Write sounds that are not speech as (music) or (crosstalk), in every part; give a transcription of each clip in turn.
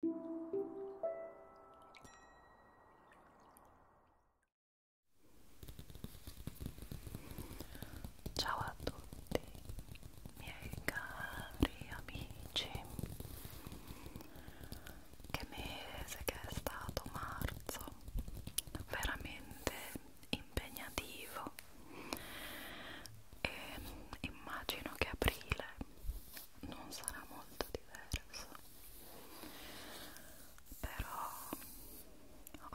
Ciao a tutti miei cari amici Che mese che è stato marzo veramente impegnativo e immagino che aprile non sarà molto diverso però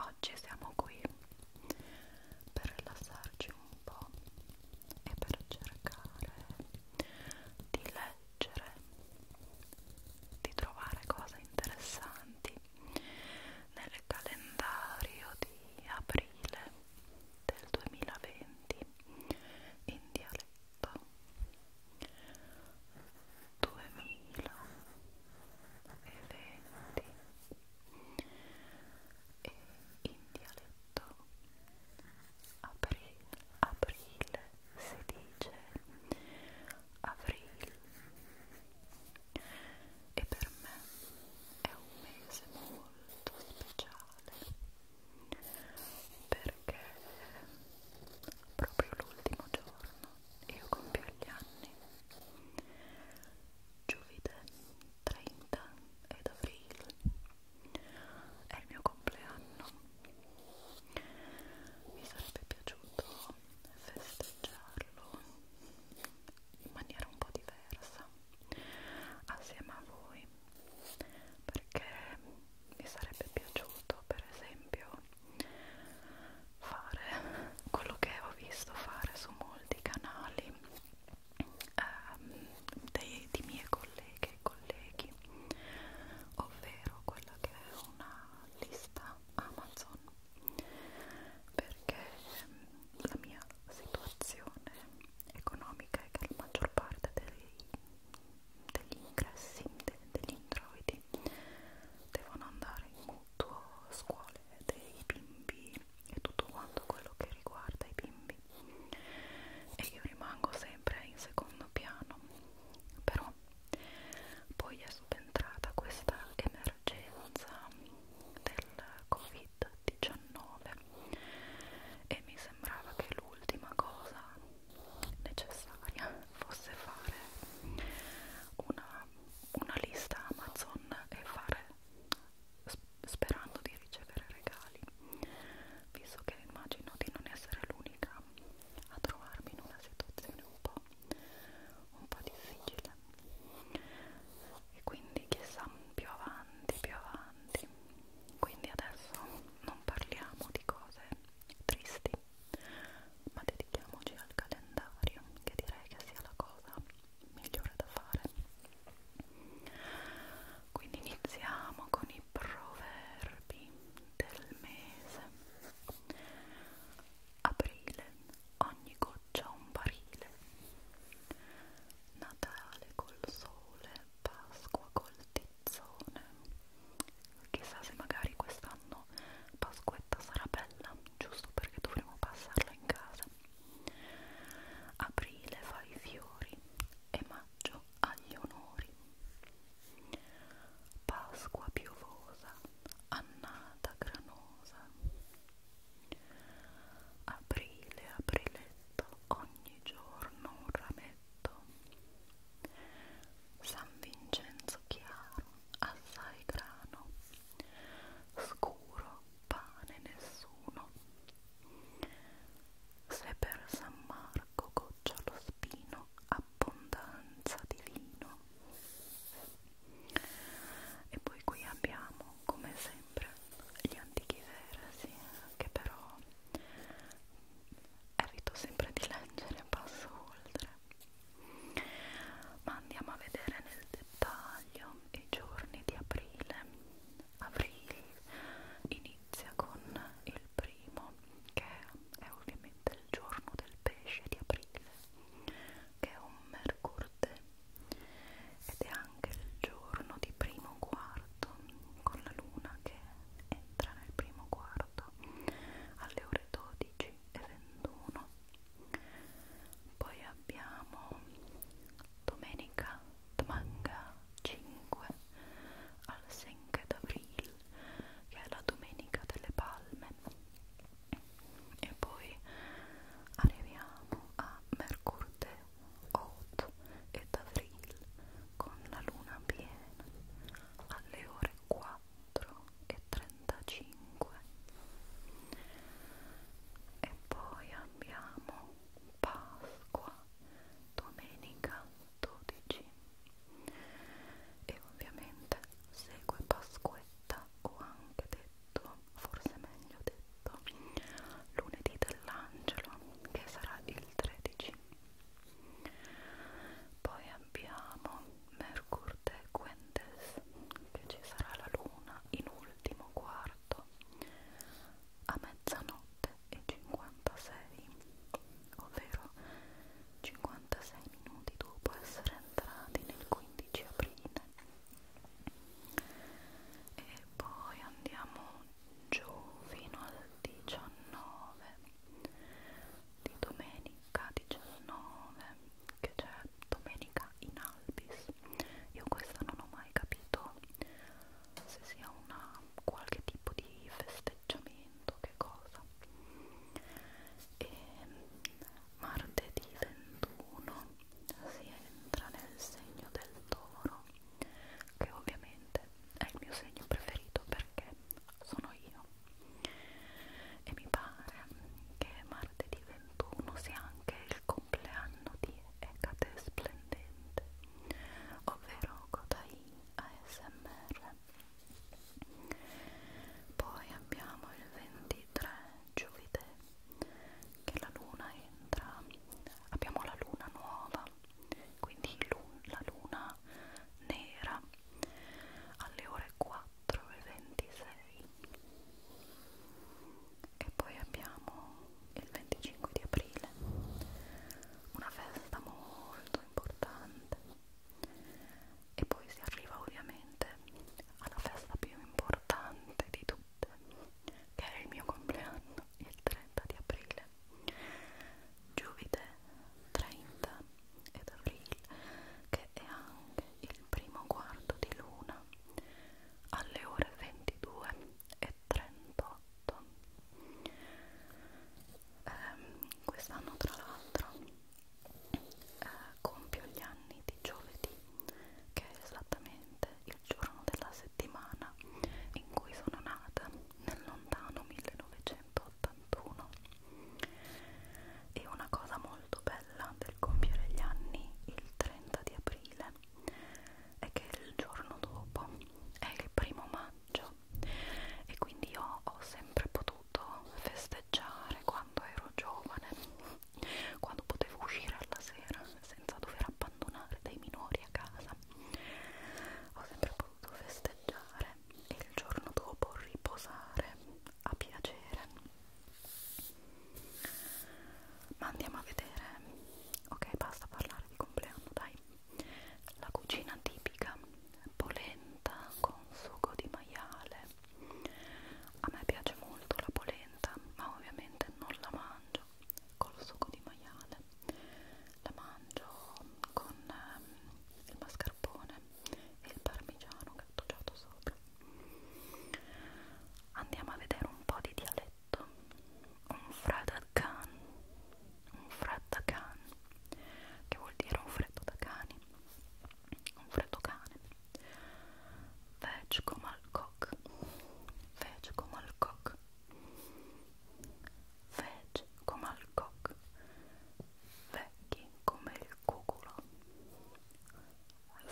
oggi siamo qui per rilassarci un po' e per cercare di leggere di trovare cose interessanti nel calendario di aprile del 2020 in dialetto 2020 e in dialetto aprile, aprile si dice aprile e per me è un mese molto speciale perché proprio l'ultimo giorno io compio gli anni giovedì 30 ed aprile è il mio compleanno mi sarebbe piaciuto festeggiarlo in maniera un po' diversa assieme a voi perché mi sarebbe piaciuto per esempio fare quello che ho visto fare su molti canali ehm, dei, di mie colleghe e colleghi ovvero quella che è una lista Amazon perché ehm, la mia situazione economica è che la maggior parte dei degli ingressi, de, degli introiti devono andare in mutuo scuole dei bimbi e tutto quanto quello che riguarda i bimbi e io rimango sempre in secondo piano però poi è subentrata questa emergenza del covid-19 e mi sembrava che l'ultima cosa necessaria fosse fare una, una lista Amazon e fare sperando di ricevere regali visto che immagino di non essere l'unica a trovarmi in una situazione un po' un po' difficile e quindi chissà più avanti più avanti quindi adesso non parliamo di cose tristi ma dedichiamoci al calendario che direi che sia la cosa migliore da fare quindi iniziamo con i proverbi del mese aprile ogni goccia un barile Natale col sole Pasqua col titolo canzone chissà se magari quest'anno Pasquetta sarà bella giusto perché dovremo passarla in casa aprile fa i fiori e maggio ha gli onori Pasqua piovosa annata granosa aprile apriletto ogni giorno un rame Rosetto, San Vincenzo chiaro, assai grano, scuro, pane nessuno. Se per San Marco goccia lo spino, abbondanza di vino. E poi qui abbiamo, come sempre, gli antichi versi che però evito sempre di leggere, passo oltre ma andiamo a vedere nel dettaglio i giorni di aprile aprile inizia con il primo che è ovviamente il giorno del pesce di aprile che è un mercurde ed è anche il giorno di primo quarto con la luna che entra nel primo quarto alle ore 12 e 21 poi abbiamo domenica Tmanga 5 al 5 d'avril che è la domenica delle palme e poi arriviamo a mercurteo Oth ed Avril con la luna piena alle ore 4 e 35 e poi abbiamo Pasqua domenica 12 e ovviamente segue Pasquetta o anche detto forse meglio detto lunedì dell'angelo che sarà il 13 poi abbiamo Mercur Quentes che ci sarà la luna in ultimo quarto a mezzanotte e 56 ovvero 56 minuti dopo essere entrati nel 15 aprile e poi andiamo giù fino al 19 di domenica 19 che c'è domenica in albis io questa non ho mai capito se sia una qualche tipo di festeggiamento che cosa e martedì 21 si entra nel segno del toro che ovviamente è il mio segno preferito perché sono io e mi pare che martedì 21 sia anche il compleanno di Ecate Splendente ovvero Kotai ASMR poi abbiamo il 23 giovedì che la luna entra abbiamo la luna nuova quindi lun la luna nera alle ore 4.26 e poi abbiamo il 25 di aprile una festa molto importante e poi si arriva ovviamente alla festa più importante di tutte che è il mio compleanno il 30 di aprile Giovide 30 ed aprile, che è anche il primo quarto di luna alle ore 22 e 38. Eh, Quest'anno, tra l'altro, eh, compio gli anni di giovedì, che è esattamente il giorno della settimana in cui sono nata nel lontano 1981 e una cosa molto bella del compiere gli anni il 30 di aprile è che il giorno dopo è il primo maggio e quindi io ho sempre potuto festeggiare quando ero giovane quando potevo uscire alla sera senza dover abbandonare dei minori a casa ho sempre potuto festeggiare e il giorno dopo riposare a piacere. Ma andiamo a vedere, ok basta parlare di compleanno, dai. La cucina tipica, polenta con sugo di maiale. A me piace molto la polenta, ma ovviamente non la mangio col sugo di maiale male la mangio con um, il mascarpone e il parmigiano grattugiato sopra andiamo a vedere un po' di dialetto un fradacan un fradacan che vuol dire un freddo da cani un freddo cane veg come al coc veg come al coc Veg come al coc, vecchi come il cuculo,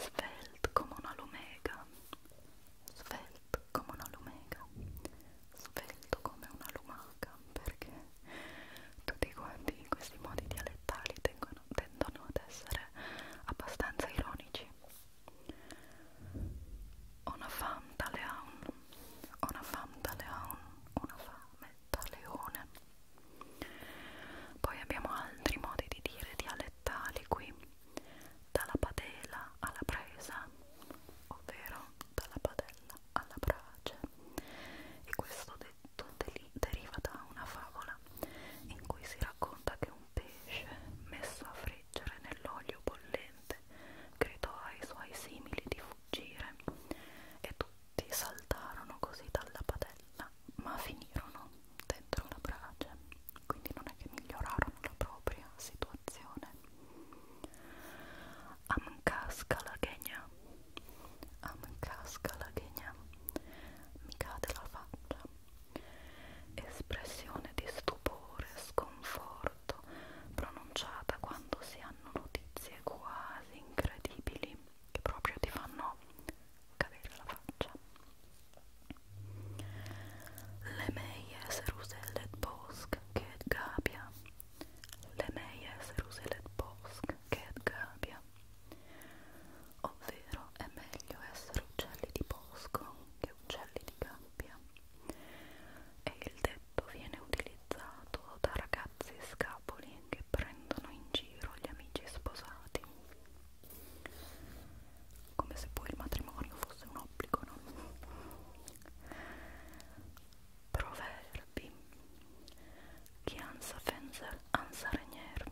svelt come una lumega, svelt come una lumega, svelto come una lumaca, perché tutti quanti questi modi dialettali tengono, tendono ad essere abbastanza ironici. Una fam da leon, una fam da leon, una fame da leone. Poi abbiamo altri modi di dire dialettali qui, dalla padella alla presa, ovvero dalla padella alla brace. E questo detto deriva da una favola in cui si racconta che un pesce messo a friggere nell'olio bollente permette, gridò ai suoi simili di fuggire e tutti saltarono così dalla padella, ma finirono dentro la brace, quindi non è che migliorarono la propria situazione. Amcasca la ghegna, amcasca la ghegna, mi cade la faccia, espressione di stupore, sconforto molto pronunciata quando si hanno notizie quasi incredibili che proprio ti fanno cadere la faccia. Le meie se rusellet bosk che gabbia. Le meie se rusellet bosk che gabbia. Ovvero è meglio essere uccelli di bosco che uccelli di gabbia e il detto viene utilizzato da ragazzi scapoli che prendono in giro gli amici sposati come se poi il matrimonio fosse un obbligo, no? Proverbi Chi ansa fenzer, ansa regner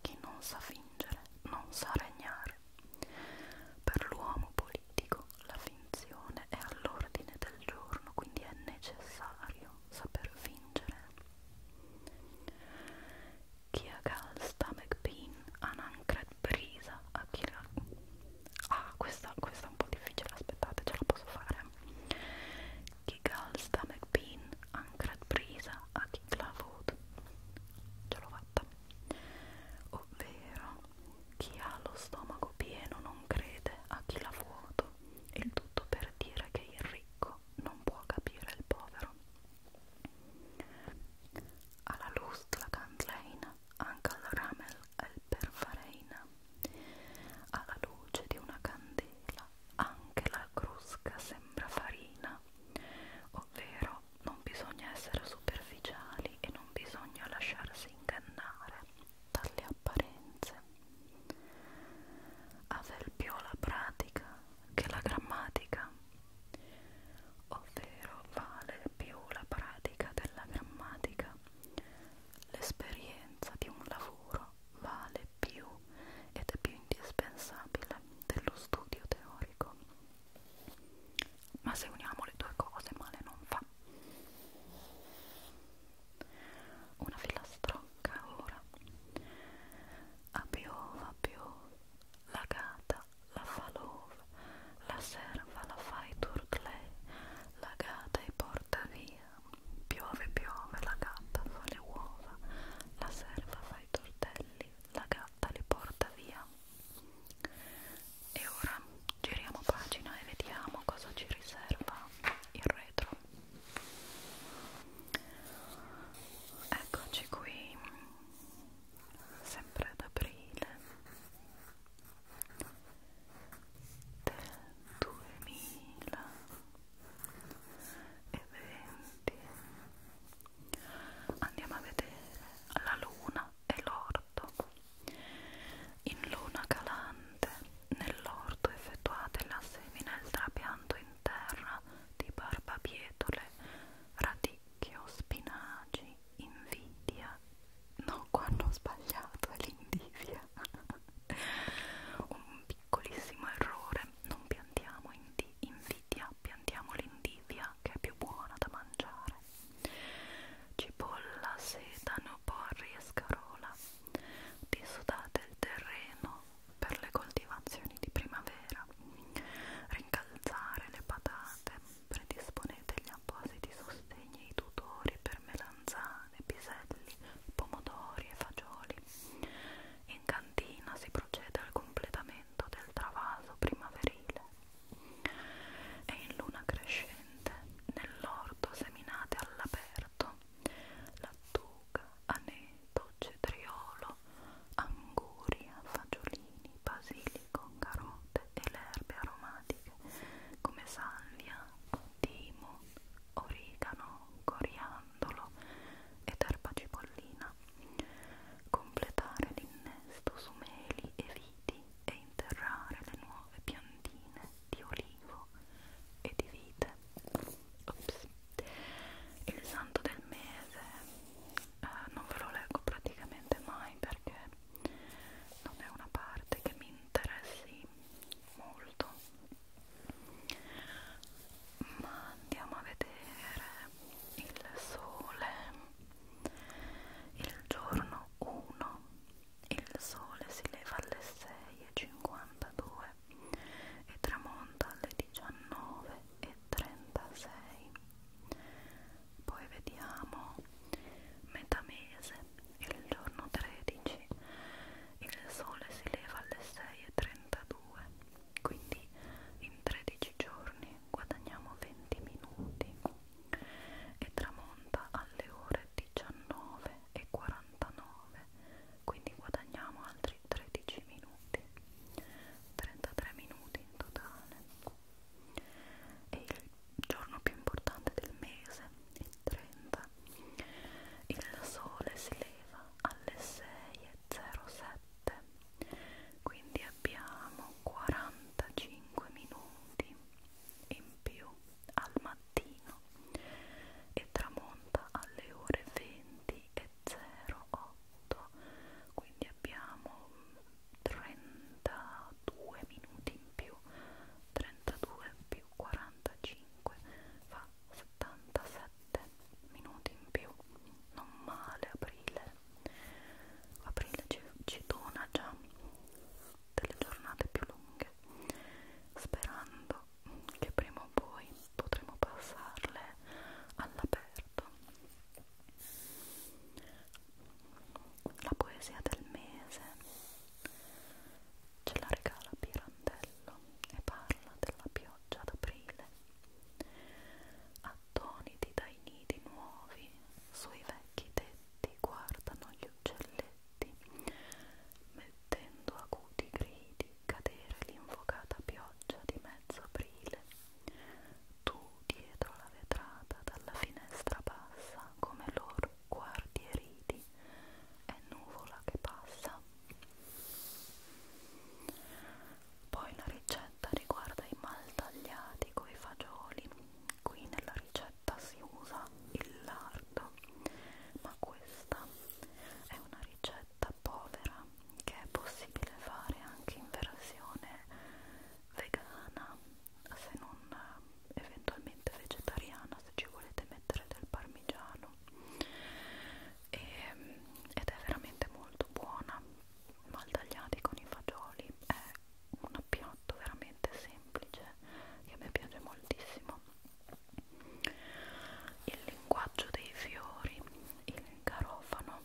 Chi non sa fingere, non sa regnare Per l'uomo pulito giuridico la finzione è all'ordine del giorno, quindi è necessario saper fingere. Chi ha gal stomach pain, anancred brisa, a chi la... Ah, questa, questa è un po' difficile, aspettate, ce la posso fare. Chi gal stomach pain, ancred brisa, a chi la vote. Ce l'ho fatta. Ovvero chi ha lo stomaco pieno non crede a chi l'ha vuoto, il tutto per dire che il ricco non può capire il povero. Alla Lust la Cantleina, anche alla Ramel è il Perfareina. Alla luce di una candela, anche la crusca sembra farina, ovvero non bisogna essere superficiali e non bisogna lasciarsi ingannare dalle apparenze. Aver più la pratica che la grammatica, ovvero vale più la pratica della grammatica. L'esperienza di un lavoro vale più ed è più indispensabile dello studio teorico ma se uniamo le due cose male non fa una filastrocca ora a piova piova la gata la fa l'ova la serva la fai turtlei la gata e porta via piove piove la gatta fa le uova la serva fa i tortelli la gatta li porta via e ora giriamo pagina e vediamo cosa ci riserva il retro. Eccoci qui, sempre ad aprile del 2020. Andiamo a vedere la luna e l'orto. In luna calante, nell'orto effettuate la semina e il trapianto in terra di barbabietole, radicchio, spinaci, invidia. No, qua hanno sbagliato, è l'indivia. (laughs) Un piccolissimo errore, non piantiamo invidia, piantiamo l'indivia che è più buona da mangiare dentro cipolla, sedano, porri e scarola dissodate il terreno per le coltivazioni di primavera rincalzare le patate predisponete gli appositi sostegni ai tutori per melanzane, piselli, pomodori e fagioli in cantina si procede al completamento del travaso primaverile e in luna crescente nell'orto seminate all'aperto lattuga, aneto, cetriolo, anguria, fagiolini, basilico, carote e le erbe aromatiche come salvia, timo, origano, coriandolo ed erba cipollina completare l'innesto su meli e viti e interrare le nuove piantine di olivo e di vite. Ops. Il santo del mese eh, non ve lo leggo praticamente mai perché non è una parte che mi interessi molto, ma andiamo a vedere il sole il giorno 1 il sole si leva alle 6.52 e tramonta alle 19.36. Poi vediamo metà mese, il giorno 13, il sole si leva alle 6.32, quindi in 13 giorni guadagniamo 20 minuti e tramonta alle ore 19.49, quindi guadagniamo altri 13 minuti, 33 minuti in totale. E il giorno più importante del mese, il 30, il sole si leva alle 6.07 quindi abbiamo 45 minuti in più al mattino e tramonta alle ore 20 e 08 quindi abbiamo 32 minuti in più 32 più 45 fa 77 minuti in più non male aprile aprile ci, ci dona già delle giornate più lunghe, sperando che prima o poi potremo passarle all'aperto. La poesia del mese ce la regala Pirandello e parla della pioggia d'aprile, attoniti dai nidi nuovi sui vecchi tetti guardano gli uccelletti, mettendo acuti gridi cadere l'invocata pioggia di mezzo aprile. Tu, dietro la vetrata, dalla finestra bassa, come loro guardi e ridi, è nuvola che passa. Poi la ricetta riguarda i maltagliati coi fagioli qui nella ricetta si usa il lardo ma questa è una ricetta povera che è possibile fare anche in versione vegana se non eh, eventualmente vegetariana se ci volete mettere del parmigiano e, ehm, ed è veramente molto buona mal tagliati con i fagioli è un appiatto veramente semplice che a me piace moltissimo il linguaggio dei fiori il garofano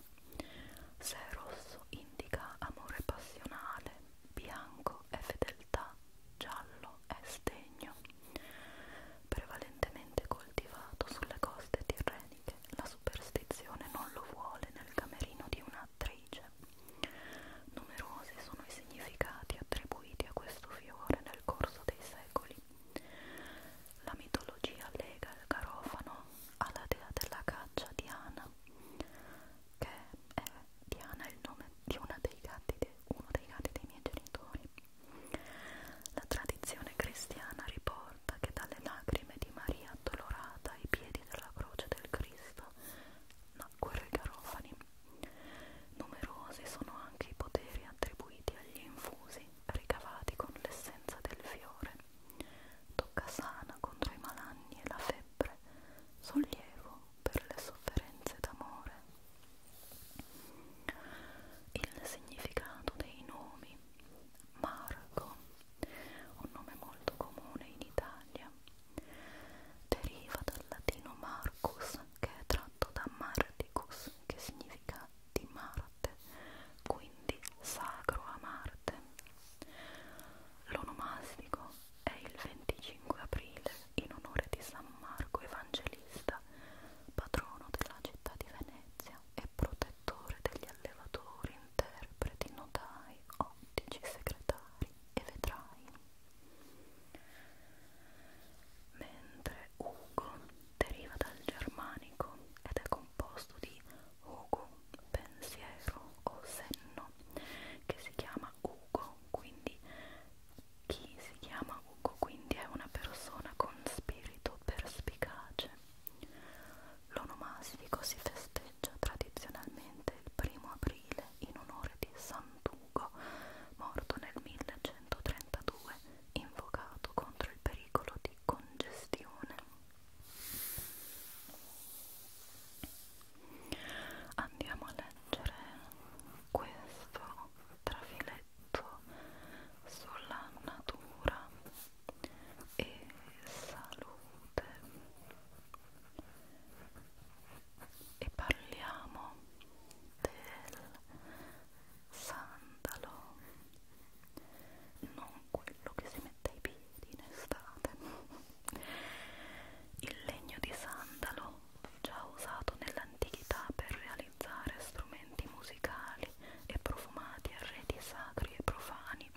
se rosso indica amore passionale bianco è fedeltà giallo è sdegno prevalentemente coltivato sulle coste tirreniche la superstizione non lo vuole nel camerino di un'attrice Numerosi sono i significati attribuiti a questo fiore nel corso dei secoli. La mitologia lega il garofano alla dea della caccia Diana, che è Diana è il nome di uno dei gatti, de, uno dei, gatti dei miei genitori. La tradizione cristiana riporta che dalle lacrime di Maria addolorata ai piedi della croce del Cristo nacquero i garofani. Numerosi sono anche i poteri attribuiti agli infusi ricavati con l'essenza del fiore. Tocca sana contro i malanni e la febbre, sollievo per le sofferenze d'amore. Il significato dei nomi Marco, un nome molto comune in Italia, Deriva dal latino Marcus, che è tratto da Marticus, che significa di Marte, quindi sacro a Marte. L'onomastico è il 25 aprile in onore di San Marco Evangelista, patrono della città di Venezia e protettore degli allevatori, interpreti, notai, ottici, segretari e vetrai mentre Ugo deriva dal germanico ed è composto di Ugo, pensiero o senno, che si chiama Ugo, quindi chi si chiama Ugo quindi è una persona con spirito perspicace. L'onomastico si festeggia festeggia tradizionalmente il primo aprile in onore di Sant'Ugo, morto nel 1132, invocato contro il pericolo di congestione. Andiamo a leggere questo trafiletto sulla natura e salute e parliamo del sandalo non quello che si mette ai piedi in estate il legno di sandalo già usato nell'antichità per realizzare strumenti musicali e profumati a reti sacri e profani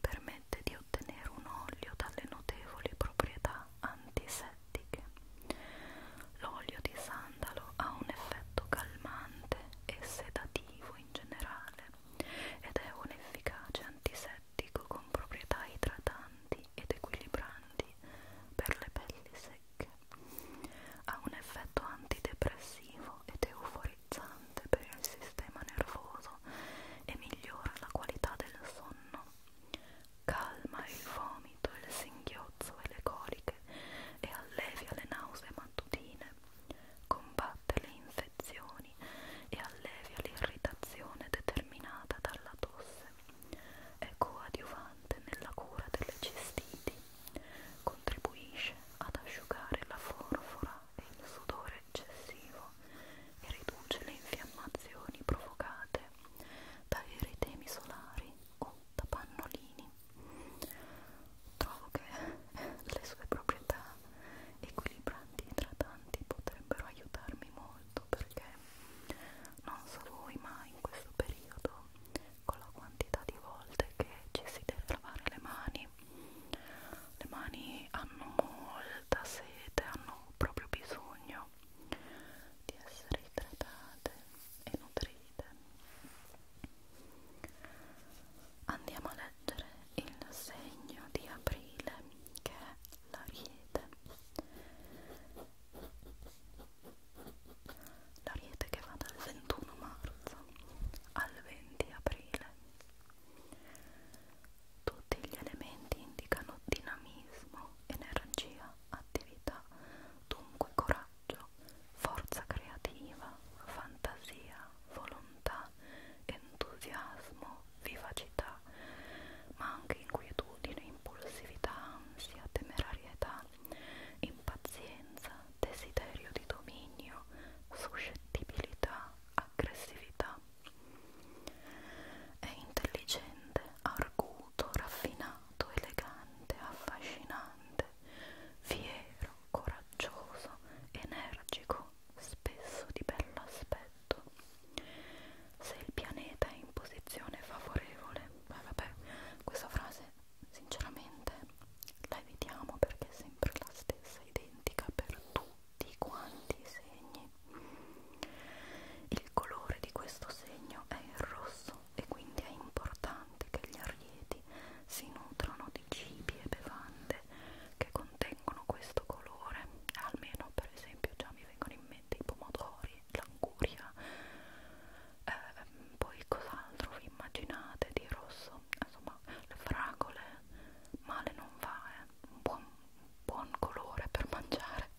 permette di ottenere un olio dalle notevoli proprietà antisettiche. L'olio di sandalo ha un effetto calmante e sedativo in generale ed è un efficace antisettico con proprietà idratanti ed equilibranti per le pelli secche. Ha un effetto antidepressivo ed euforizzante per il sistema nervoso e migliora la qualità del sonno calma il vomito, il singhiozzo e le coliche e allevia le nausee mattutine, combatte le infezioni e allevia l'irritazione determinata dalla tosse, è coadiuvante nella cura delle cistiti, contribuisce ad asciugare la forfora e il sudore eccessivo e riduce le infiammazioni provocate da eritemi solari o da pannolini. Trovo che le sue proprietà equilibranti e idratanti potrebbero aiutarmi molto perché non so voi ma in questo periodo con la quantità di volte che ci si deve lavare le mani le mani hanno molta sete, hanno proprio bisogno di essere idratate e nutrite. Andiamo a leggere il segno di aprile che è l'ariete. L'ariete che va dal 21 marzo al 20 aprile tutti gli elementi indicano dinamismo, energia, attività, dunque coraggio, forza creativa, fantasia, volontà, entusiasmo, vivacità, ma anche inquietudine, impulsività, ansia, temerarietà, impazienza, desiderio di dominio, suscettibilità, aggressività è intelligente, arguto, raffinato, elegante, affascinante, fiero, coraggioso, energico, spesso di bell'aspetto. Se il pianeta è in posizione favorevole, beh vabbè, questa frase sinceramente la evitiamo perché è sempre la stessa, identica per tutti tutti quanti i segni il colore di questo segno è il rosso e quindi è importante che gli arieti si nutrano di cibi e bevande che contengono questo colore almeno per esempio già mi vengono in mente i pomodori, l'anguria eh, poi cos'altro vi immaginate di rosso? insomma le fragole male non va eh un buon, buon colore per mangiare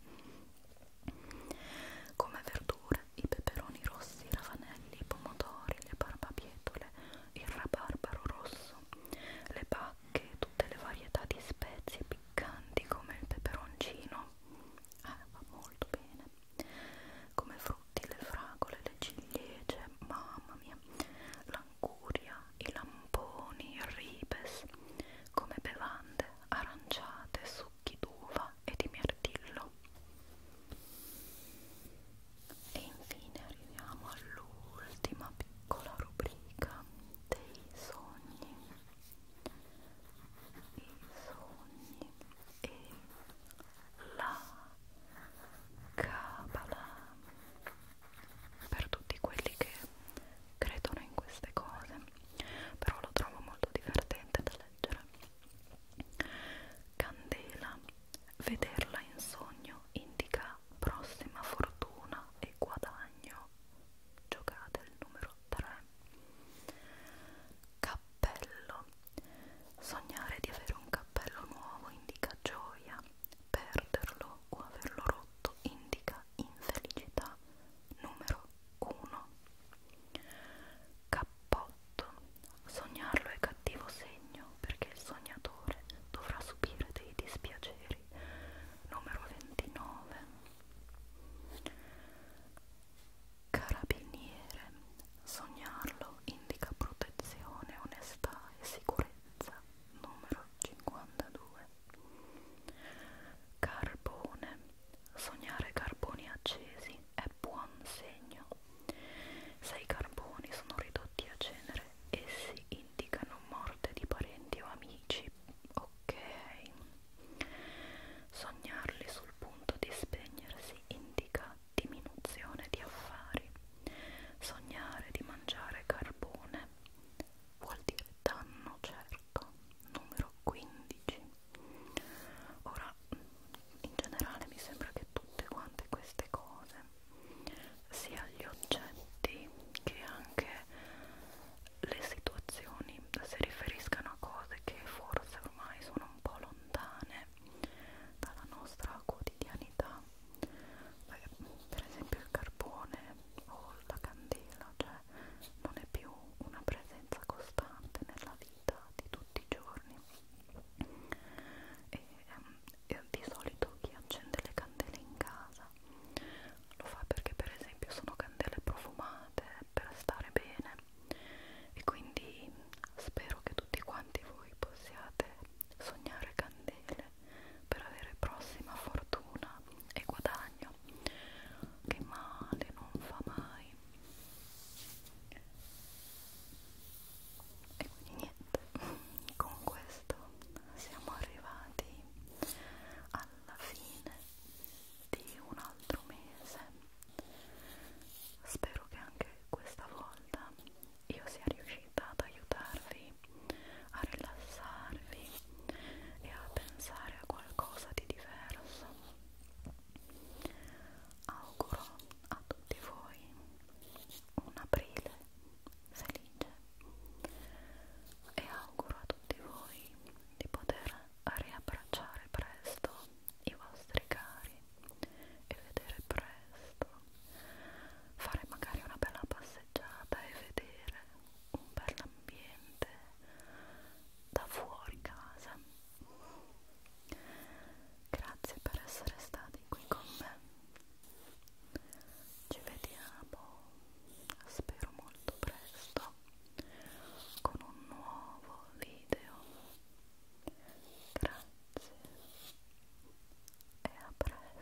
come verdure i peperoni rossi, i ravanelli, i pomodori, le barbabietole, il rabarbaro rosso, le bacche, tutte le varietà di spezie piccanti come il peperoncino eh, va molto bene come frutti, le fragole, le ciliegie, mamma mia l'anguria, i lamponi, il ribes, come bevande aranciate, succhi d'uva e di mirtillo. E infine arriviamo all'ultima piccola rubrica dei sogni. I sogni e la cabala per tutti quelli che credono in queste cose però lo trovo molto divertente da leggere Candela vederla in sogno indica prossima fortuna e guadagno giocate il numero 3 cappello sognare di avere un cappello nuovo indica gioia perderlo o averlo rotto indica infelicità numero 1 cappotto sognarlo è cattivo segno perché il sognatore dovrà subire dei dispiaceri numero 29 carabiniere sognarlo indica protezione onestà e sicurezza numero 52 Carbone. Sognare carboni accesi è buon segno. Se i carboni sono ridotti a cenere, essi indicano morte di parenti o amici. Ok. Sognarli sul punto di spegnersi indica diminuzione di affari. Sognare di mangiare carbone vuol dire danno certo, numero 15. Ora, in generale mi sembra che tutte quante queste cose, sia gli oggetti che anche le situazioni, si riferiscano a cose che forse ormai sono un po' lontane dalla nostra quotidianità. Per esempio il carbone o la candela, cioè non è più una presenza costante nella vita di tutti i giorni. E, ehm, e di solito chi accende le candele in casa lo fa perché per esempio sono candele profumate per stare bene e quindi spero che tutti quanti voi possiate sognare candele per avere prossima fortuna e guadagno che male non fa mai e quindi niente (laughs) con questo siamo arrivati alla fine di un altro mese spero che anche questa volta io sia riuscita ad aiutarvi a rilassarvi e a pensare a qualcosa di diverso. Auguro a tutti voi un aprile felice e auguro a tutti voi di poter riabbracciare presto i vostri cari e vedere presto fare magari una bella passeggiata e vedere un bel ambiente da fuori casa grazie per essere stati qui con me ci vediamo spero molto presto con un nuovo video grazie e a presto